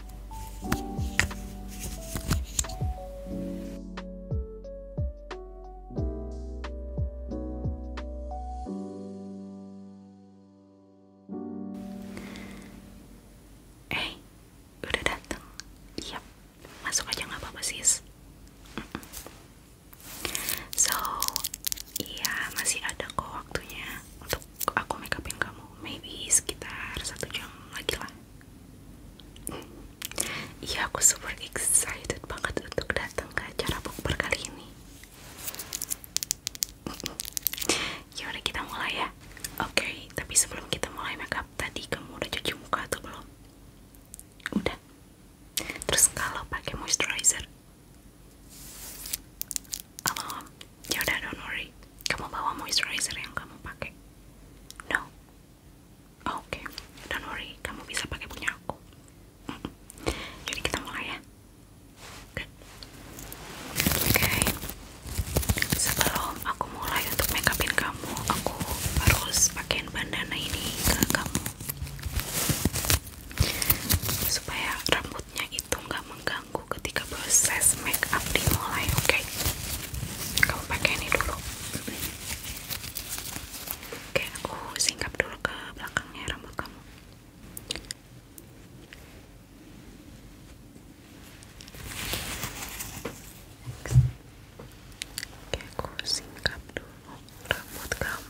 Hey, eh, udah datang? Yap, masuk aja nggak apa-apa sih. So, iya masih ada kok waktunya untuk aku makeupin kamu maybe sekitar satu jam lagi lah iya aku super excited banget untuk datang ke acara bukber kali ini Yaudah kita mulai ya oke tapi sebelum kita mulai makeup tadi kamu udah cuci muka atau belum udah terus kalau pakai moisturizer halo ya don't worry kamu bawa moisturizer yang kamu pakai no oh, oke don't worry kamu bisa pakai punya jadi kita mulai ya oke sebelum aku mulai untuk make upin kamu aku harus pakaiin bandana ini ke kamu supaya rambutnya itu nggak mengganggu ketika proses make up dimulai. Oke, okay? kamu pakai ini dulu. Oke, aku singkap dulu ke belakangnya rambut kamu. Oke, aku singkap dulu rambut kamu.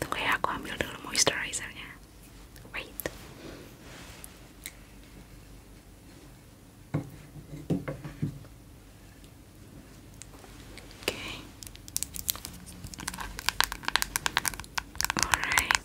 Tunggu ya, aku ambil dulu moisturizernya. Wait. Okay. Alright.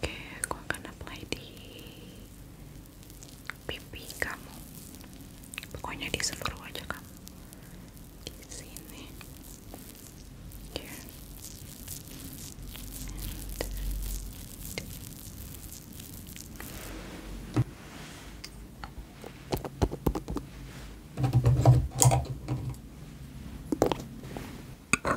Oke, aku akan apply di pipi kamu. Pokoknya di seluruh wajah kamu. Di sini. Oke,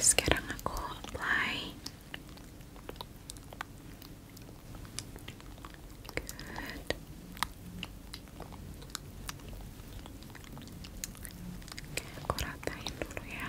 sekarang aku apply Good. Oke, aku dulu ya.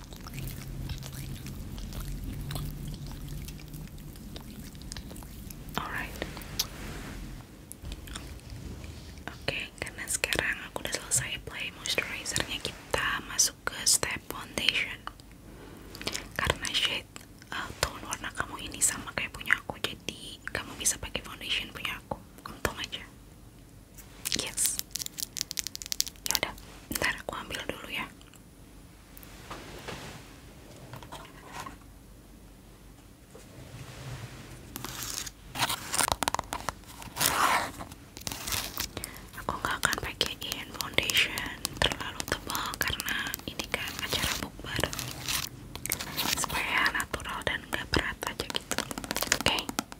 Oke, karena sekarang aku udah selesai apply moisturizernya, kita masuk ke step foundation. Karena shade eh, tone warna kamu ini sama kayak punya aku, jadi kamu bisa pakai foundation punya aku. Untung aja yes yaudah ntar aku ambil dulu ya aku nggak akan pakaiin foundation terlalu tebal karena ini kan acara bukber supaya natural dan nggak berat aja gitu oke Oke,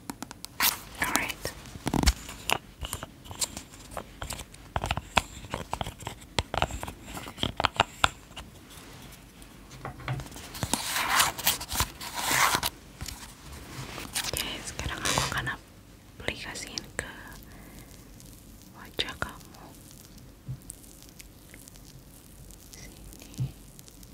sekarang aku akan aplikasiin ke wajah kamu. Sini.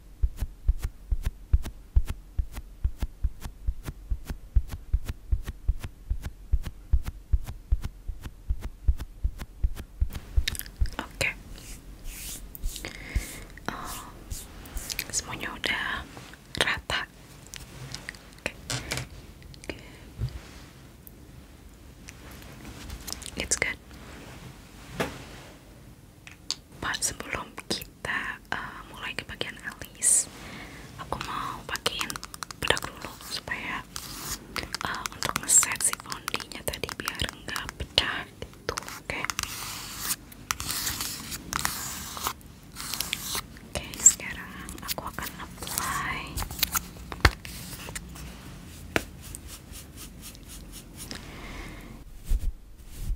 Oke, eh, semuanya udah rata. It's good. Pak sebelum kita eh, mulai ke bagian alis, aku mau pakein bedak dulu supaya eh, untuk ngeset si fondinya tadi biar nggak pecah gitu, oke? Oke, sekarang aku akan apply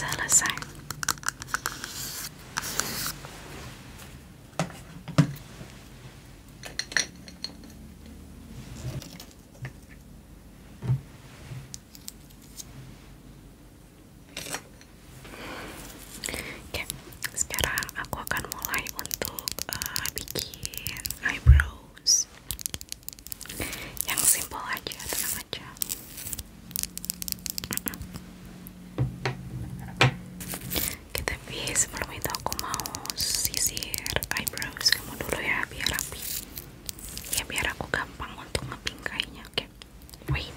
selesai. Oke, sekarang aku akan mulai untuk uh, bikin eyebrow yang simple aja tenang aja Oke, tapi sebelum itu aku mau sisir eyebrows kamu dulu ya biar rapi ya biar aku gampang untuk ngepingkainya oke wait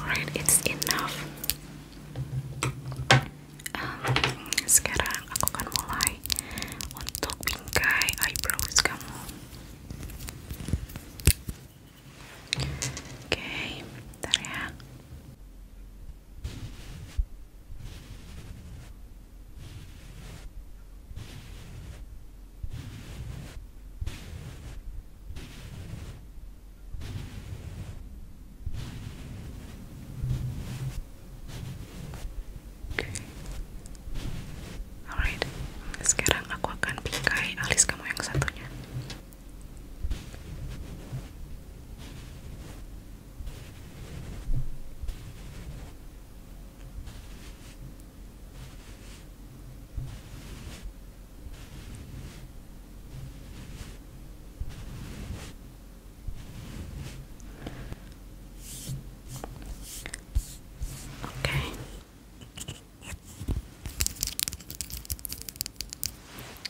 Alright, it's enough. Um, sekarang aku akan mulai untuk bingkai eyebrows kamu. okay, bentar ya. Oke. Alright. Sekarang aku akan bingkai alis kamu yang satunya.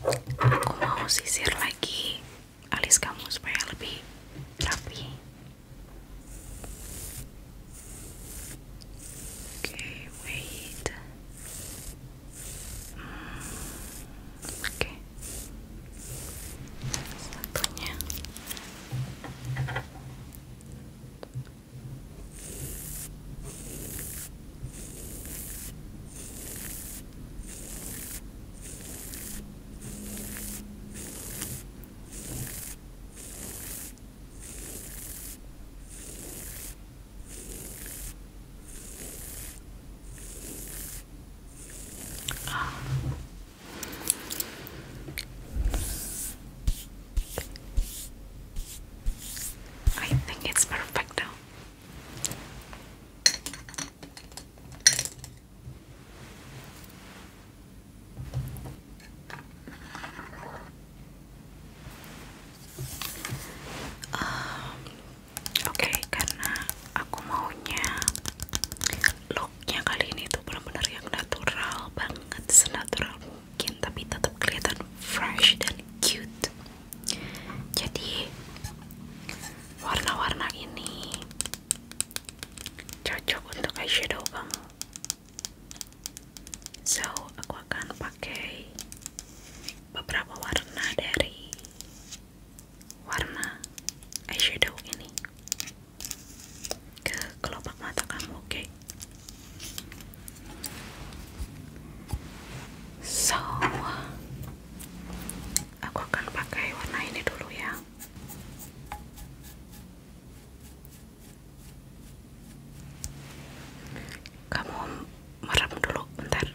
Oke, Aku mau sisir lagi alis kamu supaya lebih rapi. Okay, wait. Mm, okay. Zakonie. I think it's perfect now. Ehm, oke, karena aku maunya looknya kali ini tuh benar-benar yang natural banget, senatural mungkin, tapi tetap kelihatan fresh dan cute. Jadi warna-warna ini cocok untuk eyeshadow kamu. So, aku akan pakai beberapa warna dari warna eyeshadow ini ke kelopak mata kamu, oke? So, aku akan pakai warna ini dulu ya. Kamu merem dulu bentar.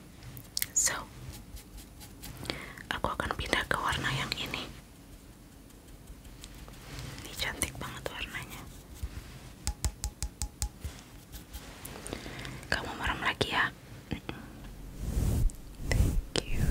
So, aku akan pindah ke warna yang ini. Ini cantik banget warnanya. Kamu merem lagi ya? Thank you.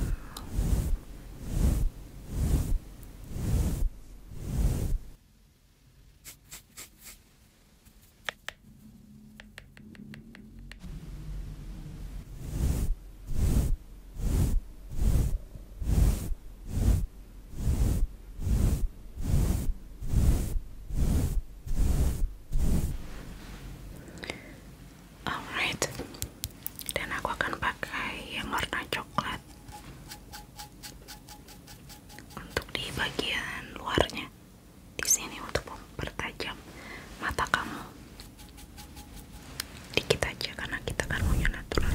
Alright, dan aku akan pakai yang warna coklat untuk di bagian luarnya di sini untuk mempertajam mata kamu dikit aja karena kita kan punya natural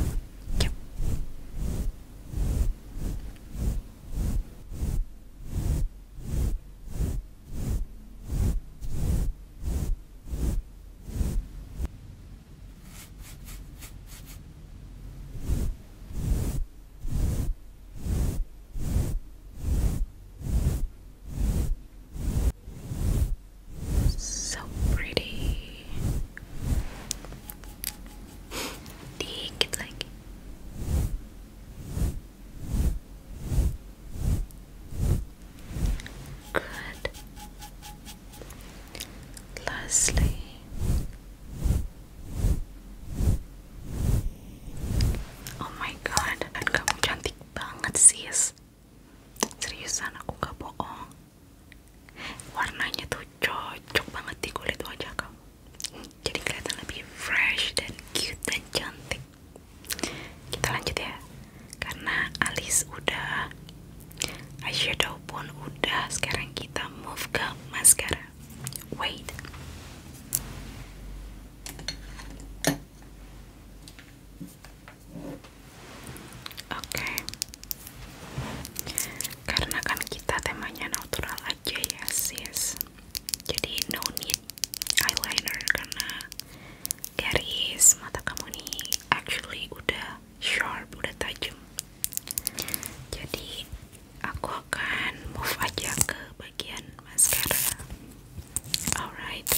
So pretty. Dick, it's like. Good. Lastly, Oh my god, dan kamu cantik banget sis. Seriusan aku gak bohong. Warnanya tuh cocok banget di kulit wajah kamu. Jadi keliatan lebih fresh dan cute dan cantik. Kita lanjut ya. Karena alis udah, eyeshadow pun udah. Sekarang kita move ke maskara. Wait. Oke, karena kan kita temanya natural aja ya sis, jadi no need eyeliner karena garis mata kamu nih actually udah sharp, udah tajam. Jadi aku akan move aja ke bagian mascara. Alright.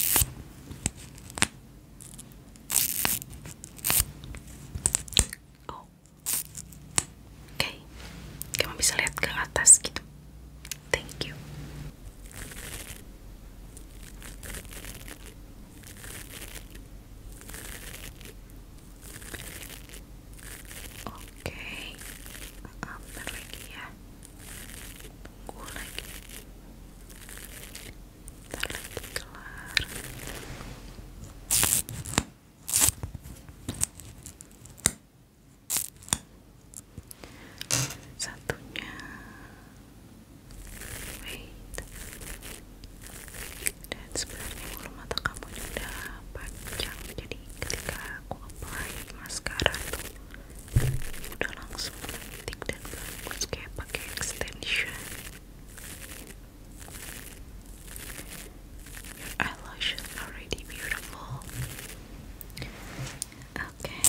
Oke, oh. okay. kamu bisa lihat ke atas gitu. Thank you. Oke, okay. bentar lagi ya. Tunggu lagi. Bentar lagi Satunya, wait. sebenarnya bulu mata kamu sudah panjang, jadi ketika aku apply maskara tuh udah langsung cantik dan bagus kayak pakai extension your eyelashes already beautiful okay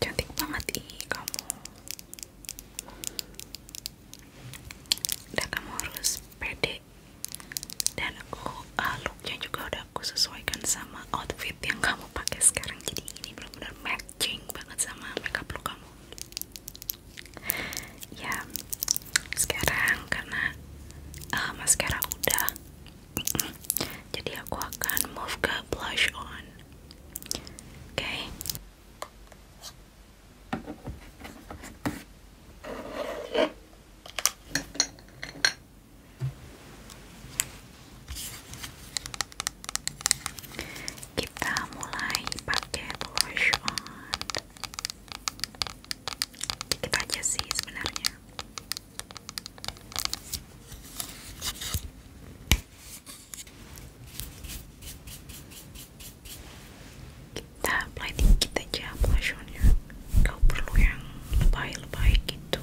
cantik banget ih kamu udah kamu harus pede dan aku uh, juga udah aku sesuaikan sama outfit yang kamu pakai sekarang jadi ini benar-benar matching banget sama makeup look kamu ya sekarang karena ah, maskara udah jadi aku akan move ke blush on oke kita mulai pakai lotion on. Dikit sebenarnya kita apply dikit aja blushonnya kau perlu yang lebay-lebay gitu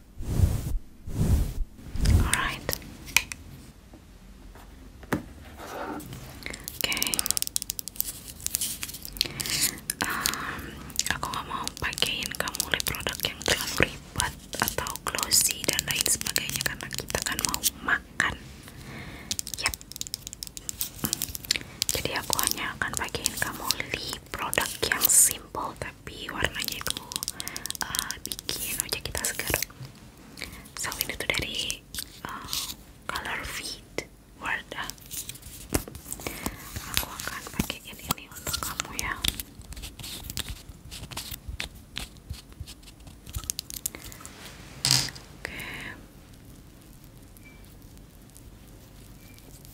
Okay. Um, aku nggak mau pakaiin kamu produk yang terlalu ribet atau glossy dan lain sebagainya karena kita kan mau makan. Yap. Jadi aku hanya akan pakaiin kamu lip produk yang simple tapi warnanya itu uh, bikin wajah kita segar so ini dari uh, color feed Wardah aku akan pakaiin ini untuk kamu ya oke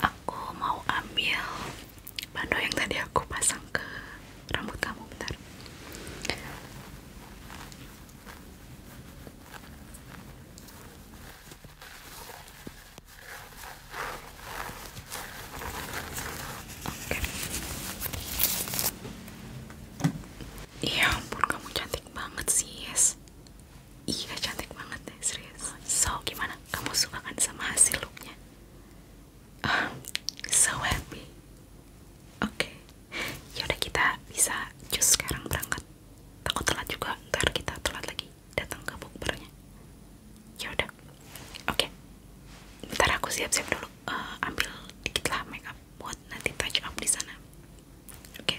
Aku mau ambil bando yang tadi aku pasang ke rambut kamu bentar. Iya ampun kamu cantik banget sih yes Iya cantik banget deh serius. So gimana? Kamu suka kan sama hasil looknya? Um, so happy. Oke. Okay. Yaudah kita bisa jus sekarang berangkat. Takut telat juga ntar kita telat lagi datang ke bukbernya. Yaudah. Oke. Ntar aku siap-siap dulu. Eh, ambil dikit lah up buat nanti touch up di sana. Oke.